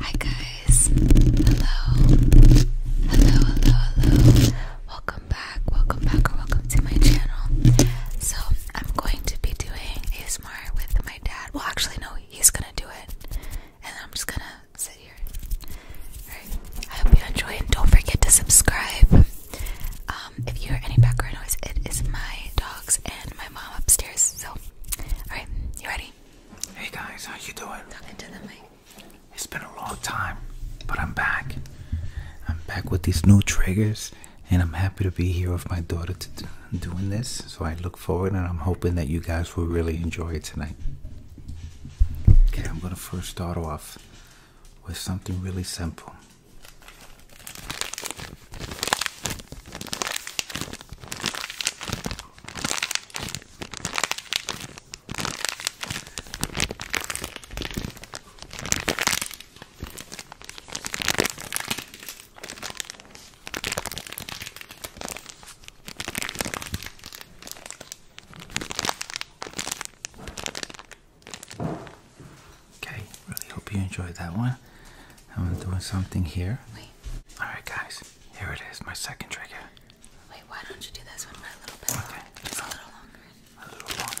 Hi guys. Hello. Hello, hello, hello. Welcome back. Welcome back or welcome to my channel. So, I'm going to be doing a smart with my dad. Well, actually no, he's going to do it. And I'm just going to sit here. All right. I hope you enjoy and don't forget to subscribe. Um, if you hear any background noise, it is my dogs and my mom upstairs. So, all right. You ready? Hey guys, how you doing? Talking to the It's been a long time, but I'm back. I'm back with these new triggers, and I'm happy to be here with my daughter to doing this. So I look forward, and I'm hoping that you guys will really enjoy it tonight. Okay, I'm gonna first start off with something really simple. Okay, really hope you enjoyed that one. I'm doing something here. Alright, guys, here it is, my second trigger. Wait, why don't you do this one for little bit a little longer. A little longer.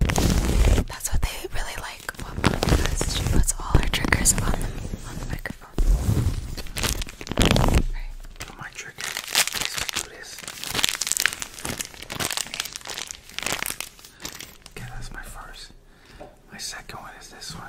That's what they really like. What mom does? She puts all her triggers on the on the microphone. Right. my trigger. do this. Okay, that's my first. My second one is this one.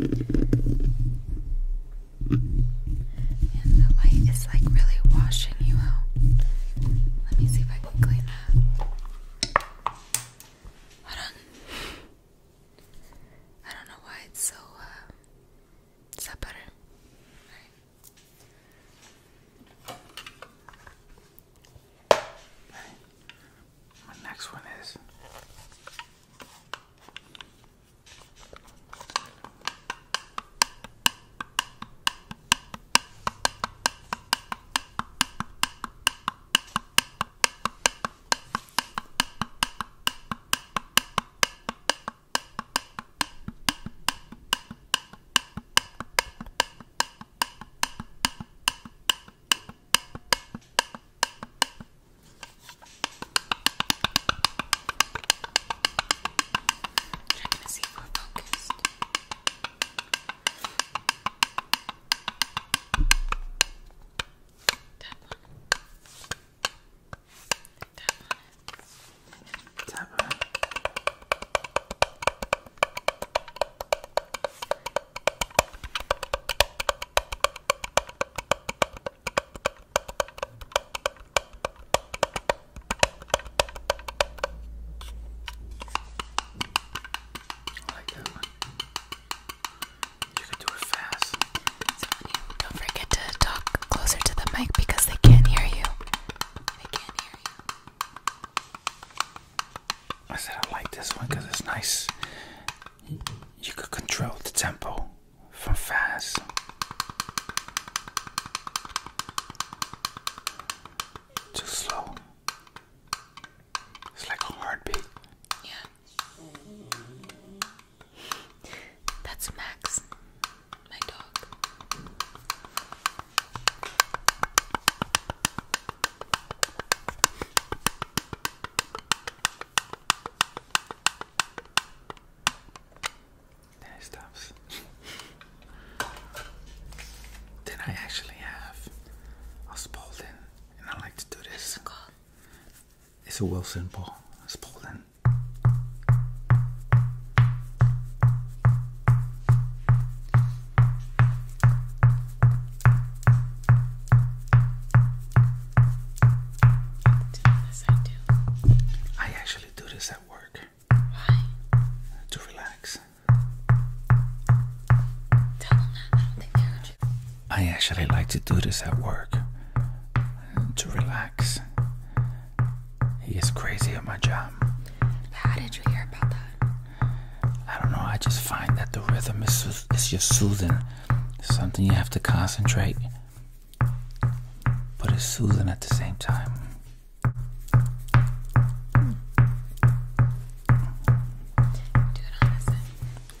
And the light is like really washing you out. Let me see if I can clean that. Hold on. I don't know why it's so uh, is that better? All right. My next one is Trying to see if we're focused. That one. Tap on it. Tap on it. I like that one. You can do it fast. don't forget to talk closer to the mic because they can't hear you. They can't hear you. I said I like this one because it's nice. You could control the tempo from fast. Too slow. It's like a heartbeat. Yeah. That's Max, my dog. Then it stops. then I actually have a and I like to do this. It's a Wilson ball. It's pulled in. This I actually do this at work. Why? To relax. Tell them that. I don't think they would I actually like to do this at work to relax. He is crazy at my job. How did you hear about that? I don't know. I just find that the rhythm is, is just soothing. It's something you have to concentrate, but it's soothing at the same time. Dude, honestly,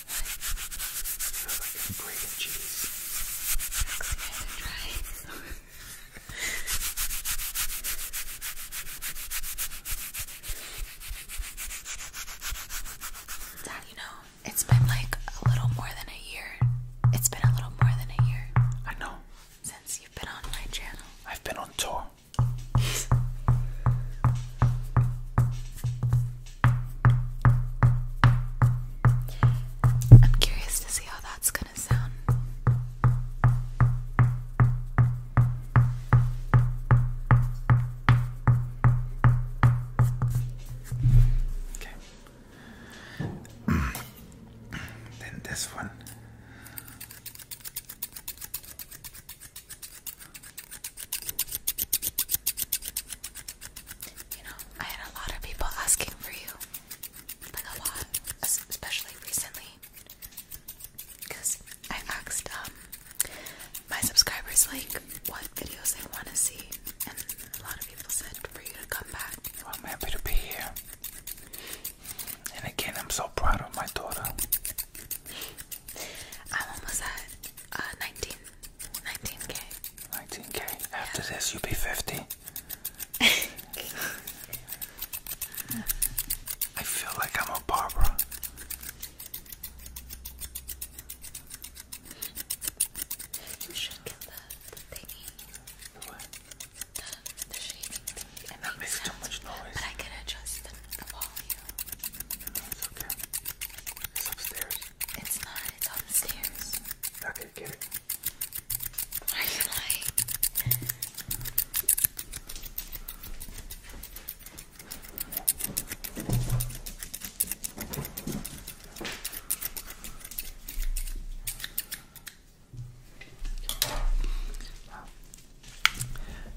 Feels like it's been like a little more than a year. It's been a little more than a year. I know. Since you've been on my channel. I've been on tour. I'm curious to see how that's gonna sound. Okay. then this one. You know, I had a lot of people asking for you. a lot, especially recently. Because I asked um, my subscribers, like, what videos they want to see. And a lot of people said for you to come back. I'm happy to be here. And again, I'm so proud of my daughter. I'm almost at uh, 19. 19k. 19k. After this, you'll be 50. I feel like I'm a Barbara. You should get the, the The The, the shading It makes, too much noise. But I can adjust the volume it's okay. It's upstairs. It's not, it's on the stairs. Okay, get it. What like?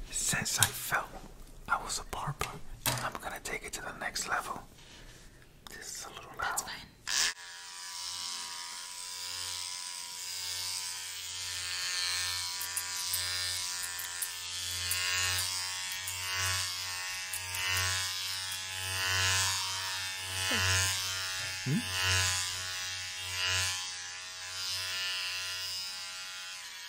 Since I felt I was a barber. I'm gonna take it to the next level. This is a little loud. That's fine. Hmm?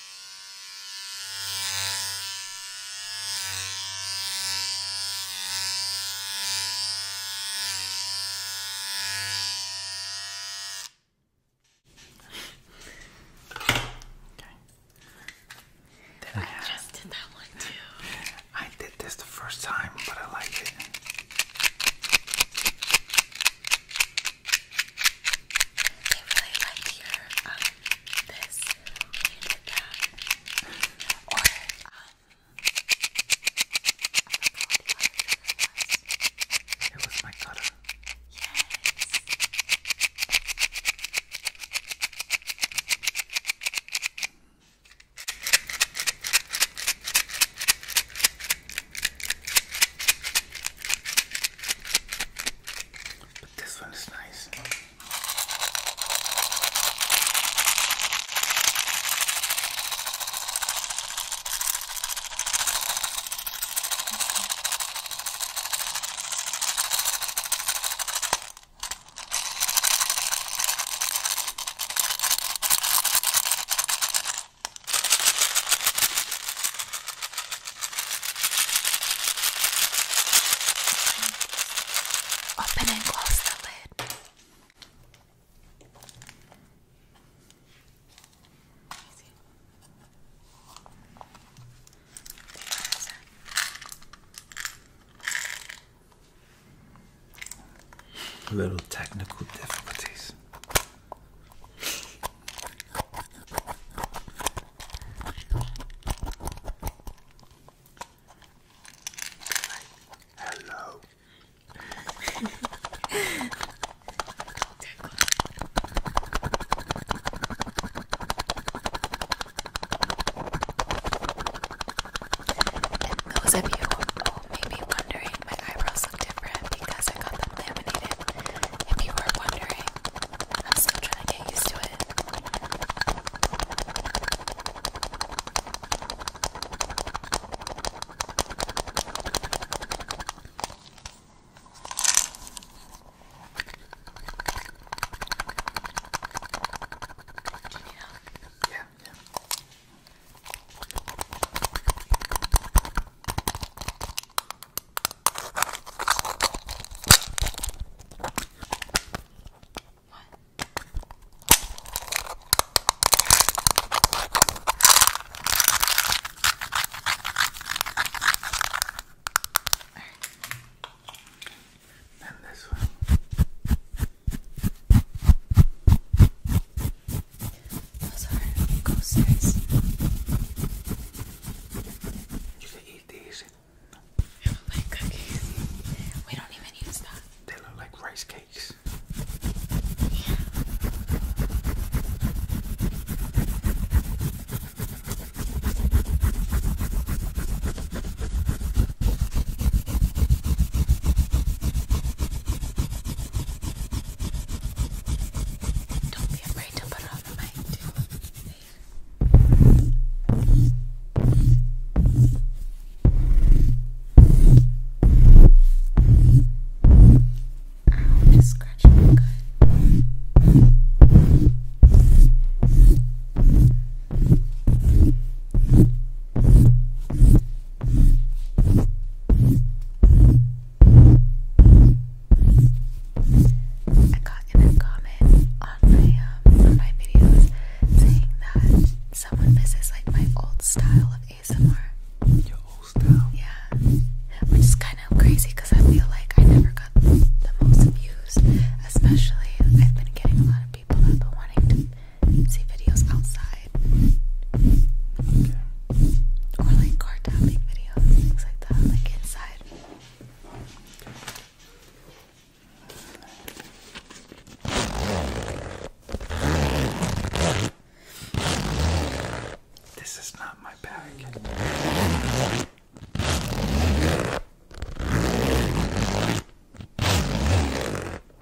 Okay. Then I, I have, just did that one too. I did this the first time, but I liked it. They really liked your, um, this when you It was my cutter. Yes. But this one is nice. Open and close the lid. Little technical difficulties. Hello. those of you who may be wondering my eyebrows look different because I got them laminated. If you are wondering, I'm still trying to get used to it. Yeah. yeah. And this one. Those are coasters. You can eat these. We don't even use that. They look like rice cakes. Don't be afraid to put it on the mic too. Ow, just scratching my gut. I got in a comment on my um, on my videos saying that someone misses like my old style of ASMR. Your old style? Yeah, which is kind of crazy because I feel like I never got the, the most views. Especially, I've been getting a lot of people that have been wanting to see videos outside. Or like car tapping videos, things like that, like inside. This is not my bag.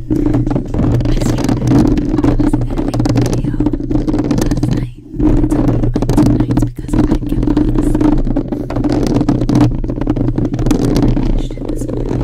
video last night. It's only been two because I kept falling asleep. I finished it this morning.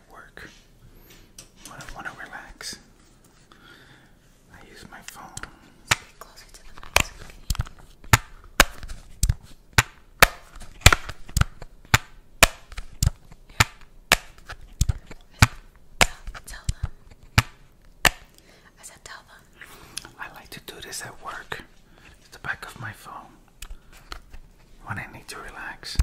work I want to relax. I use my phone. Speak I said tell I like to do this at work. It's the back of my phone I need to relax.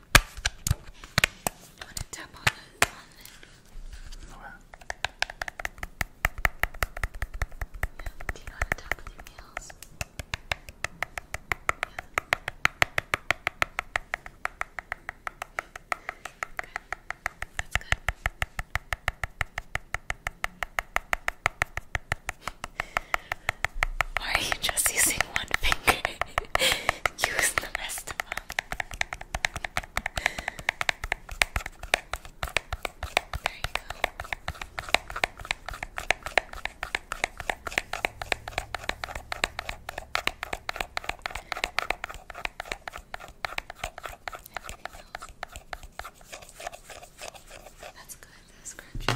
You want to tap on it? Do you know to tap with your nails? Yeah. Good. That's good. Why are you just using one finger? Use the rest of them. That's good, that's scratchy.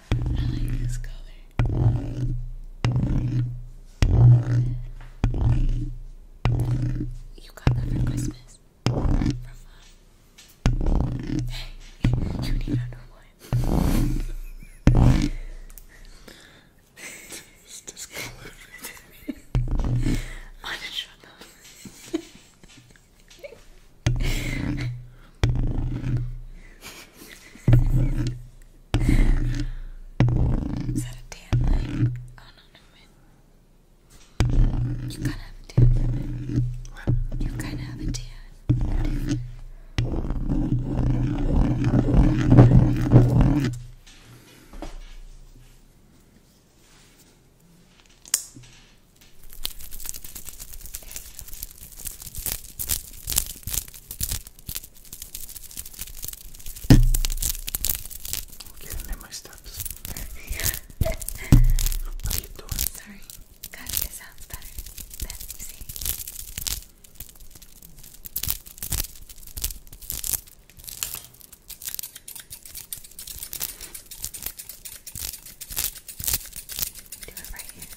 I like You got that for Christmas. From mom. Hey, you need underwear. it's discolored. I didn't shut up. Is that a tan line? Oh no, never mind. You kinda have a tan line. What? You kinda have a tan. There you go. Getting in my steps. what are you doing? Sorry, got this sounds better. That's easy. Do it right here.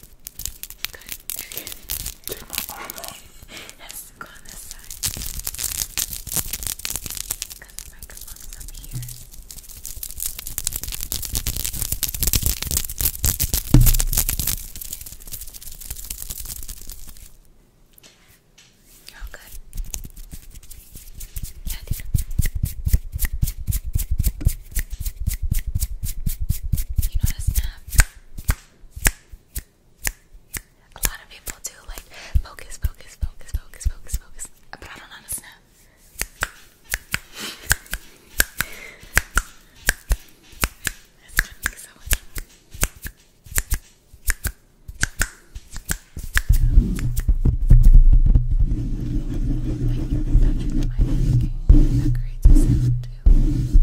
Take my arm off. Has to go on this side. Because the microphone's up here. Oh, good. Yeah, dude. A lot of people do like focus, focus, focus, focus, focus, focus. But I don't know Thank you that creates a sound too.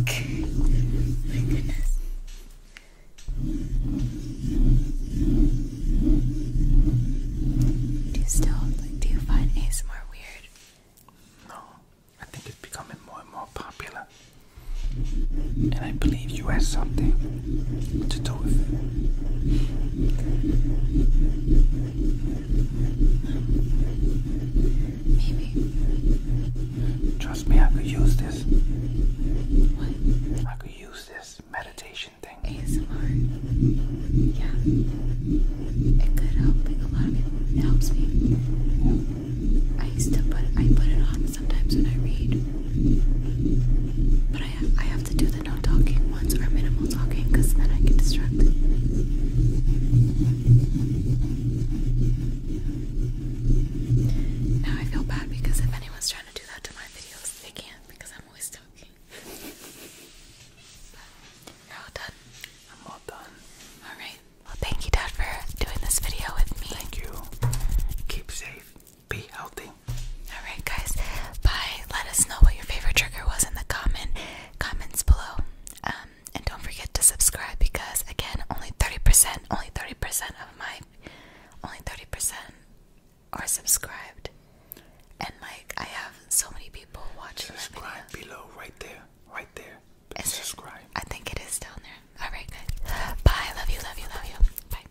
Okay. My goodness. Do you still Do you find ASMR weird? No, I think it's becoming more and more popular, and I believe you have something to do with it. Trust me, I could use this. I could use this meditation thing. Yeah. It could help a lot of people. It helps me. I used to put I put it on sometimes when I read. I have, to do the no talking ones or minimal talking because then I get distracted. Now I feel bad because if anyone's trying to do that to my videos, they can't because I'm always talking. you're all done. I'm all done. Alright. Well, thank you, Dad, for doing this video with me. Thank you. Keep safe be healthy. Alright, guys. Bye. Let us know what your favorite trigger was in the comment comments below. Um, and don't forget to subscribe because again, only 30%, only 30% of my only 30% are subscribed. And like I have so many people watching. Subscribe below, right there, right there. And subscribe. I think it is down there. Alright guys. Bye, love you, love you, love you. Bye.